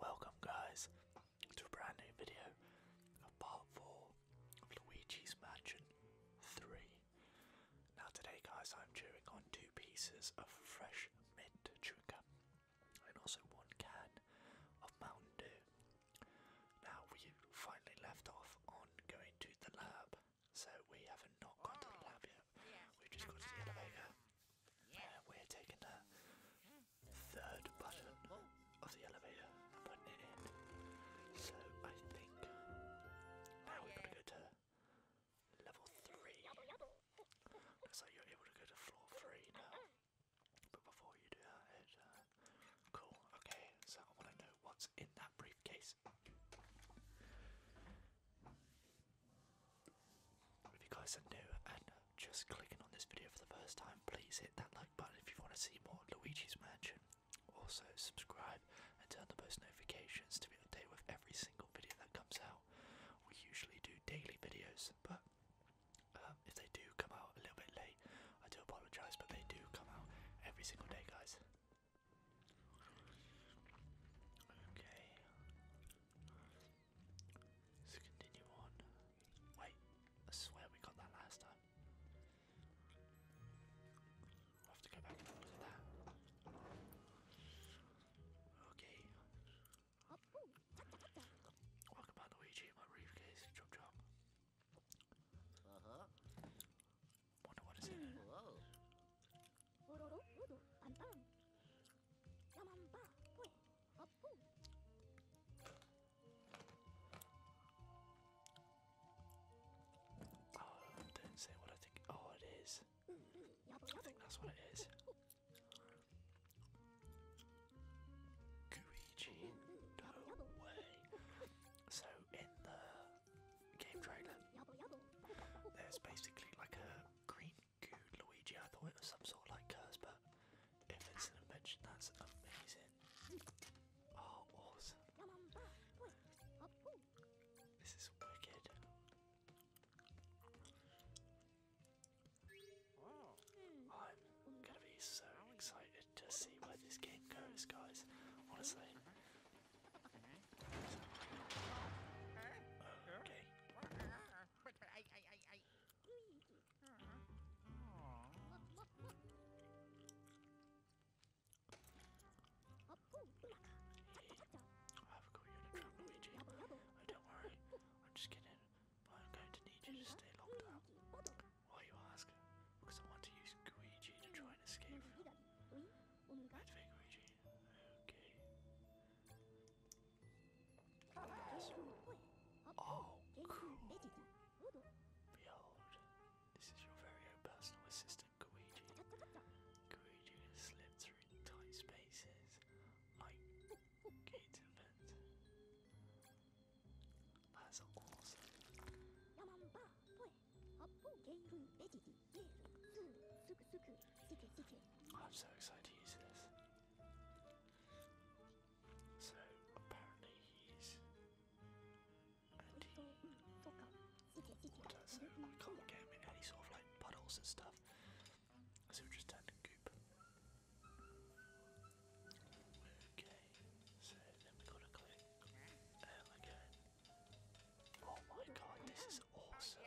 Welcome, guys, to a brand new video of part 4 of Luigi's Mansion 3. Now today guys I'm chewing on two pieces of fresh mint chewing and also one can of Mountain Dew. Now we finally left off on going to the lab so we haven't not got to the lab yet, oh, we've just got to the elevator. Yeah. we're taking a third button of the elevator and in. So I think now we've got to go to level three. Looks you're able to go to floor three now. But before you do that, uh, cool. Okay, so I want to know what's in that briefcase. If you guys are new and just clicking on this video for the first time, please hit that like button if you want to see more Luigi's Mansion. Also, subscribe and turn on post notifications to be updated with every single video that comes out. We usually do daily videos, but um, if they do come out a little bit late, I do apologise, but they do come out every single day, guys. Okay. Let's continue on. Wait, I swear we got that last time. i have to go back and look at that. Okay. Welcome back, Luigi. My briefcase. Chop chop. Uh huh. Wonder what is in Oh, don't say what I think. Oh, it is. I think that's what it is. Guiji, no way. So in the game trailer, there's basically like a green Good Luigi. I thought it was some sort of like curse, but if it's an invention, that's amazing. Oh, awesome. This is wicked. I'm gonna be so excited to see where this game goes, guys. Honestly. Okay. I've got you to come, Luigi. don't worry. I'm just kidding. But I'm going to need you to stay locked up. Why you ask? Because I want to use Luigi to try and escape. I Luigi. Okay. Oh, cool. Behold, this is your very own personal assistant, Koichi. Koichi has slipped through tight spaces like Kate event. That's awesome. I'm so excited to use this. So apparently he's and he what I can't get him in any sort of like puddles and stuff. So just turn goop. Okay, so then we gotta click um again. Oh my god, this is awesome.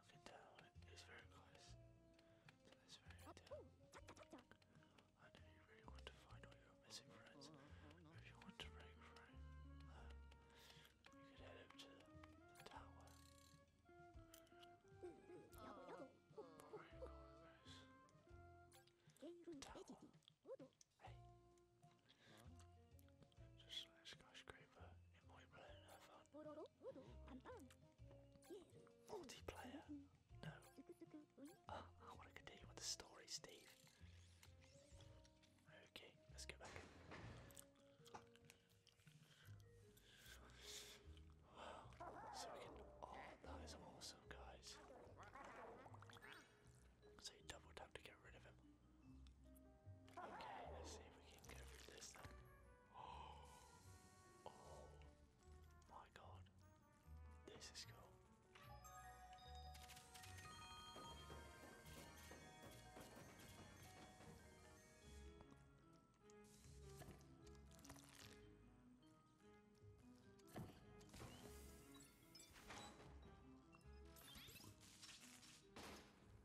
Look It's very close. So that's very down. Oh, oh, I know you really want to find all your missing friends. If you want to break free, you can head up to the tower. Mm-hmm multiplayer, no ah, I want to continue with the story, Steve. Okay, let's go back. Wow, so we can. Oh, that is awesome, guys. So you double tap to get rid of him. Okay, let's see if we can go through this then. Oh, oh my god. This is cool.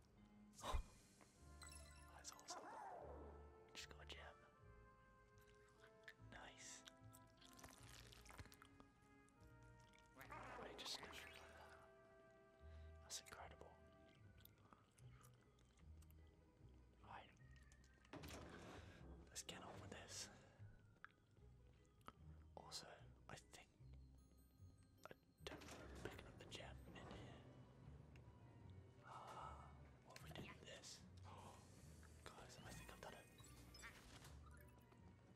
That's awesome. Just got a gem. Nice. I just like that. That's incredible. Right. Let's get on with this. Also, I think but time picking up the gem in here. Ah, what we did this? Oh, guys, I think I've done it.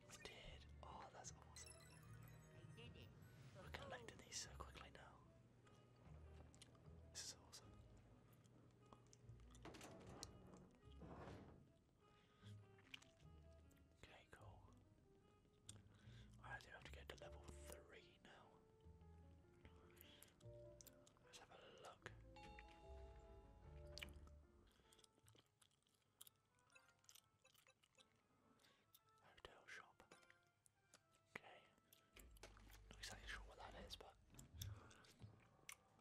I did. Oh, that's awesome. We're collecting these so quickly now. This is awesome. Okay, cool. I do have to get to level 3 now. Let's have a look. Hotel shop. Okay. Not exactly sure what that is, but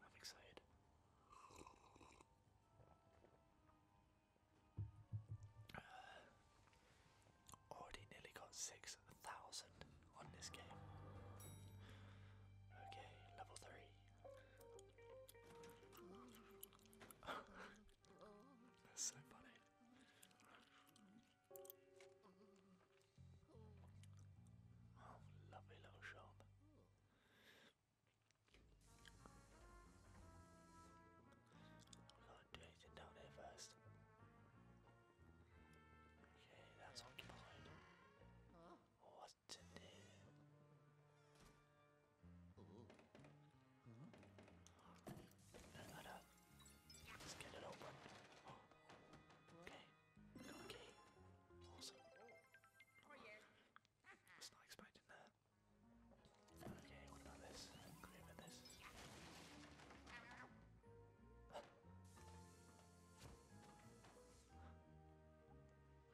I'm excited. Already nearly got 6,000 on this game. Okay, level 3. so funny. Oh, lovely little shop. Rotate it down there first. Okay, that's occupied. What to do? Let's get it open. Oh. Okay. Awesome. Oh, I was not expecting that. Okay, what about this? Clear with this.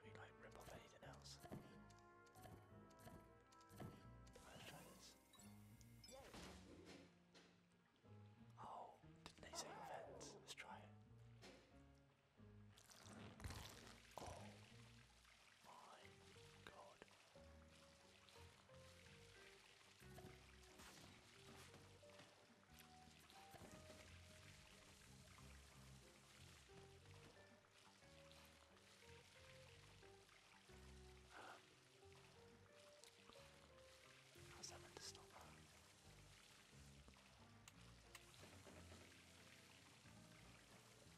We like rip off anything else. Let's try this. Oh, didn't they say events? Let's try it. Oh, my um, god. how's that meant to stop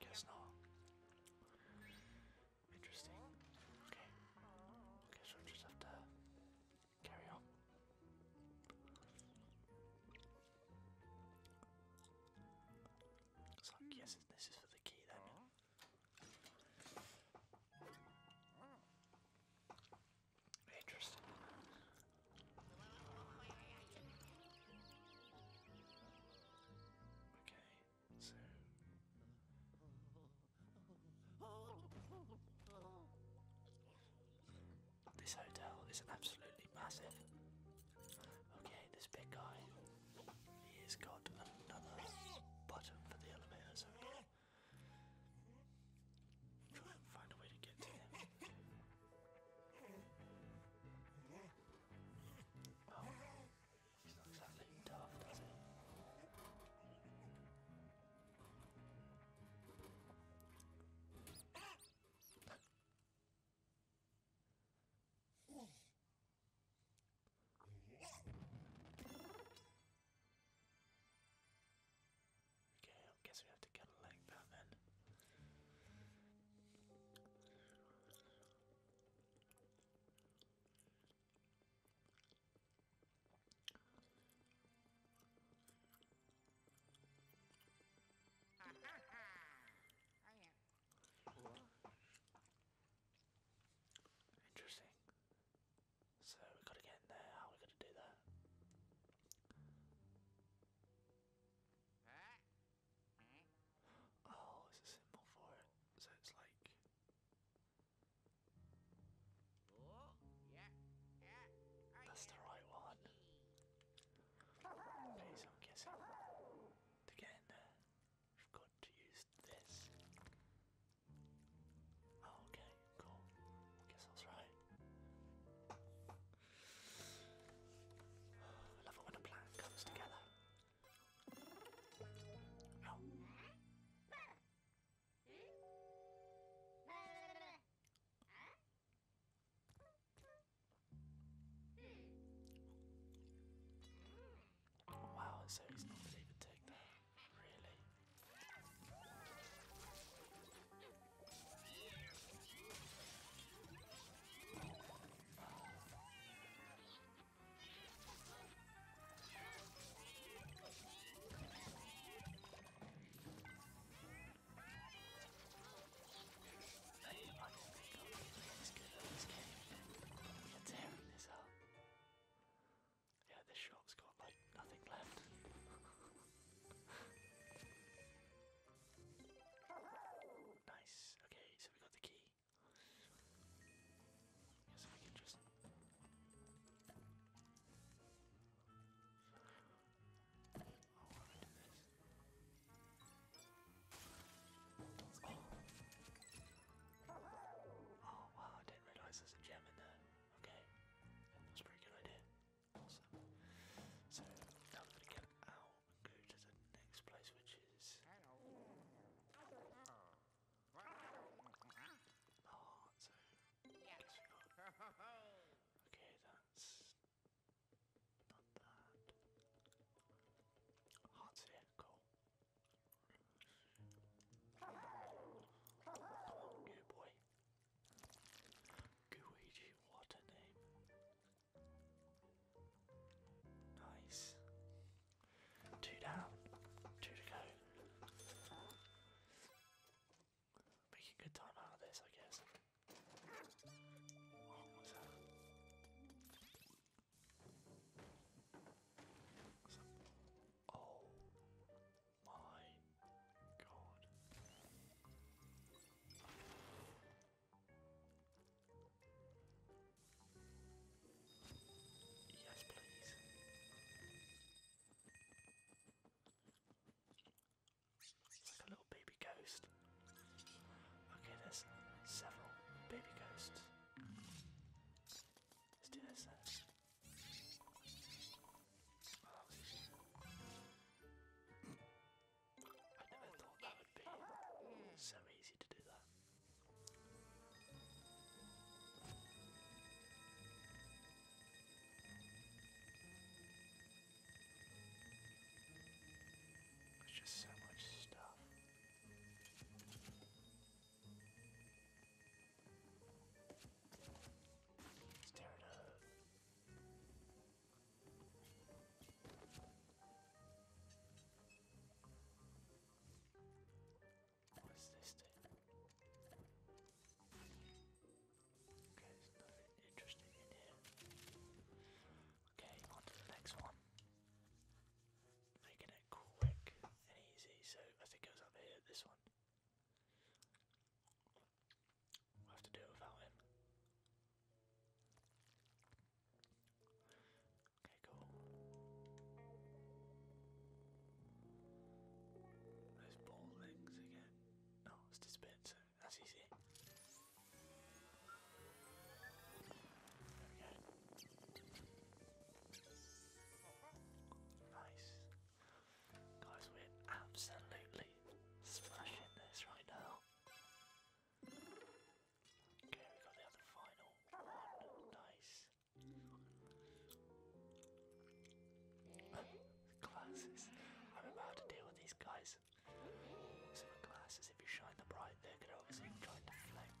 Guess not. Interesting. Okay. Guess we just have to carry on. So I'm this is for the key then. Okay, This hotel is absolutely massive. Okay, this big guy, he's got another button for the elevator, so Try and find a way to get to him. Oh, he's not exactly tough, does he? Okay, I guess we have to get it like that then. Interesting. So we've got to get in there. How are we going to do that? Oh, it's a symbol for it. So it's like. That's the right one. Okay, I'm guessing to get in there, we've got to use this. Oh, okay. Cool. I guess I was right. I love it when a plan comes together. Ow. Wow, so he's not even take Really? They, I don't think I'm really as good at this game. You're tearing this up. Yeah, this shop's got like nothing left. nice. Okay, so we got the key. Yes, we can just. oh wow! I didn't realise there's a gem in there. Okay, that's pretty good idea. Awesome. So now we're gonna get out and go to the next place, which is heart. So Okay, that's not that. Heart's Cool. new boy. Guiji, what a name. Nice. Two down, two to go. Making good time out of this, I guess. What was that? Oh my god. Yes, please. It's like a little baby ghost. Okay, there's several baby ghosts. Let's do this I never thought that would be so easy to do that. There's just so much stuff. Let's What's this thing? Okay, there's nothing interesting in here. Okay, on the next one. Making it quick and easy, so I think it was up here, this one we have to do without him. Okay, cool. Those ball legs again. No, oh, it's dispenser. That's easy. There we go. Nice. Guys, we're absolutely smashing this right now. Okay, we got the final one. Nice. glasses. I remember how to deal with these guys. glasses, if you shine them bright, they're gonna obviously try and deflect.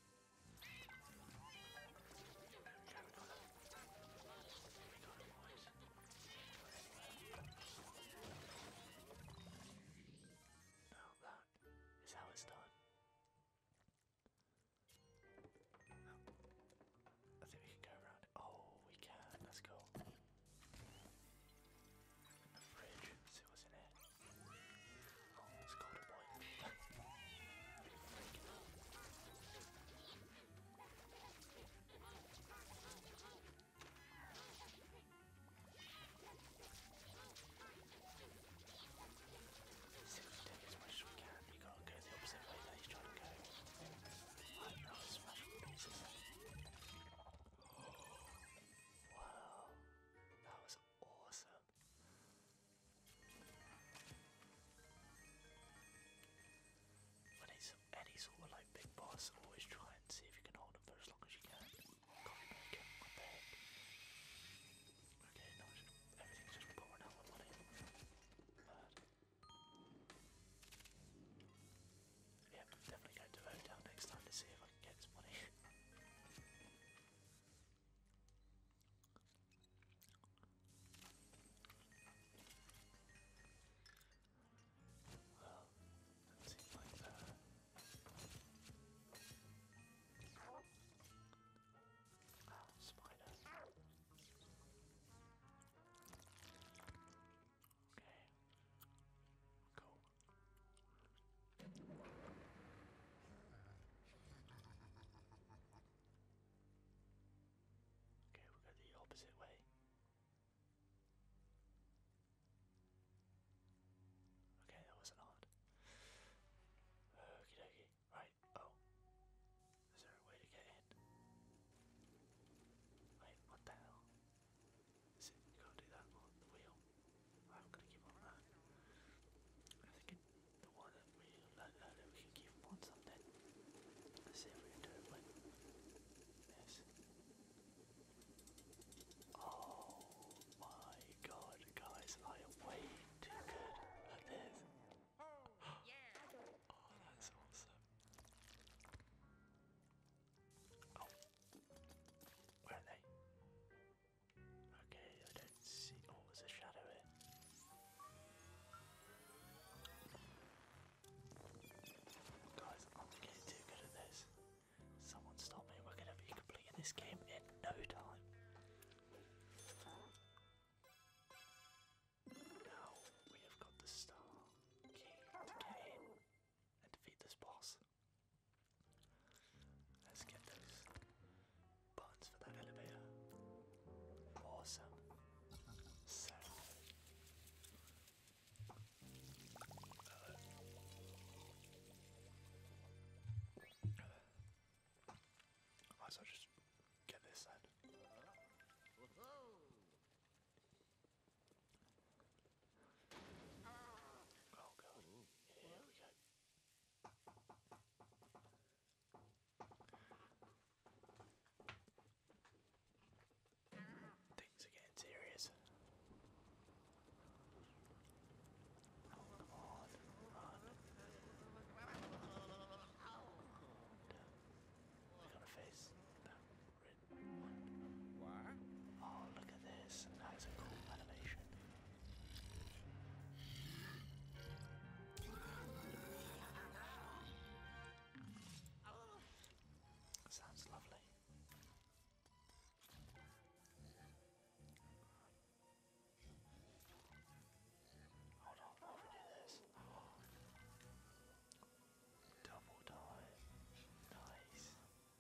Now that is how it's done. Oh, I think we can go around. Oh, we can. Let's go. In the fridge. See what's in it. Let's go to boy. Six take as much as we can. You gotta go the opposite way that he's trying to go. I know it's special pieces. Oh, wow, that was awesome. When any sort of like big boss, always try and see if you can hold him for as long as you can. Okay, now everything's just pouring out my money. Bad. definitely going to vote next time to see if I can get some money. Well, that seems like the oh, spider. Okay. Cool. Okay, we go the opposite way. Okay, that wasn't hard. Okie dokie. Right, oh. Is there a way to get in? Wait, what the hell? I'm gonna give on that. I think the one that we learned earlier, uh, we can on something. Let's see if we can do it with this. Oh my god, guys, I am way too good at this. Oh, oh that's awesome. Oh. Where are they? Okay, I don't see. Oh, there's shadow here. Guys, I'm getting too good at this. Someone stop me, we're gonna be completing this game in no time. Now we have got the star key to get and defeat this boss. Let's get those buttons for that elevator. Awesome. So. Uh, uh, just get this then. Oh god. Here we go. Things are getting serious. Oh, come on, run. And, uh, we gotta face that Oh, look at this. That is a cool animation. sounds lovely. Hold on, i this. Double dive. Nice.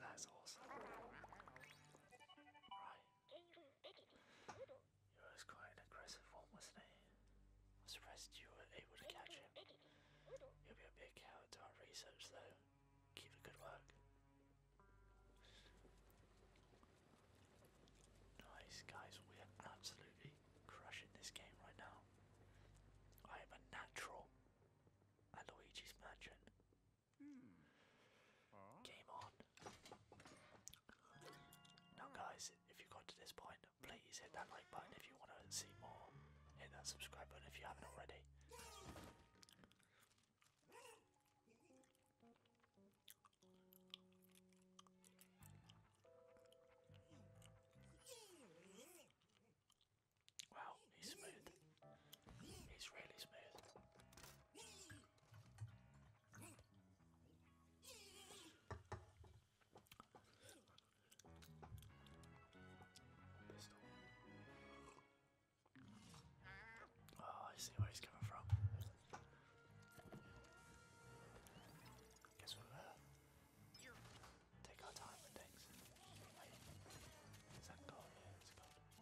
That's awesome. Right. He was quite aggressive wasn't he? surprised you were able to catch him. You'll be a big help to our research though. Keep the good work. Nice guys, we are absolutely crushing this game right now. I am a natural Luigi's Mansion. Hmm. Game on. Now guys, if you got to this point, please hit that like button if you want to see more. Hit that subscribe button if you haven't already. Wow, he's smooth. He's really smooth. Oh, I see where he's coming from. Guess we take our time with things. Wait, is that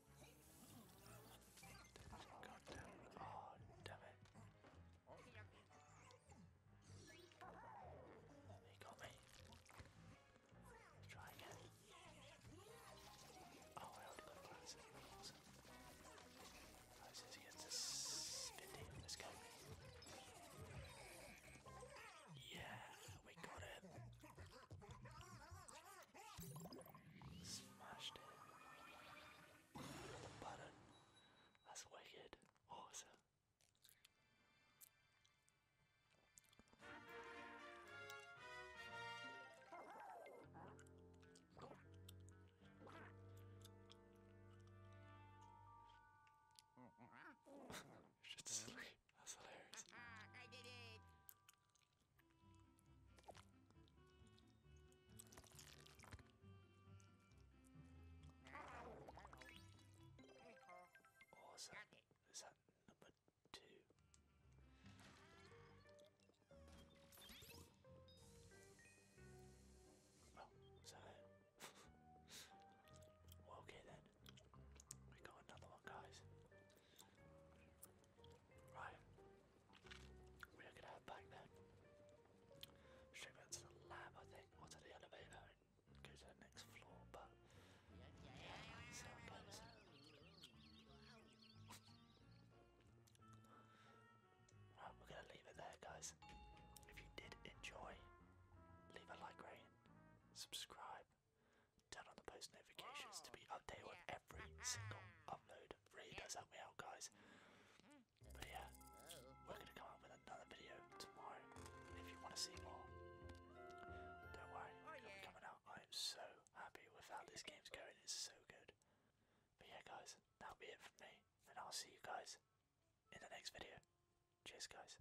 God damn. Oh, damn it. They got me. Let's try again. Oh, I already got glasses. Awesome. Glasses against this 15 this game. Yeah we got it. Smashed it. That's wicked. Awesome. She's just that's hilarious. is that number two? Oh, is that it? okay then. We got another one, guys. Right, we're gonna head back then. Should we the lab, I think, or to the elevator and to the next floor, but right, we're gonna leave it there, guys. If you did enjoy, leave a like rating, subscribe, Turn on the post notifications to be updated on every uh-huh. single upload. Really does help me out, guys. But yeah, we're gonna come up with another video tomorrow. If you want to see more, don't worry, oh, it'll be coming out. I'm so happy with how this game's going. It's so good. But yeah, guys, that'll be it from me, and I'll see you guys in the next video. Cheers, guys.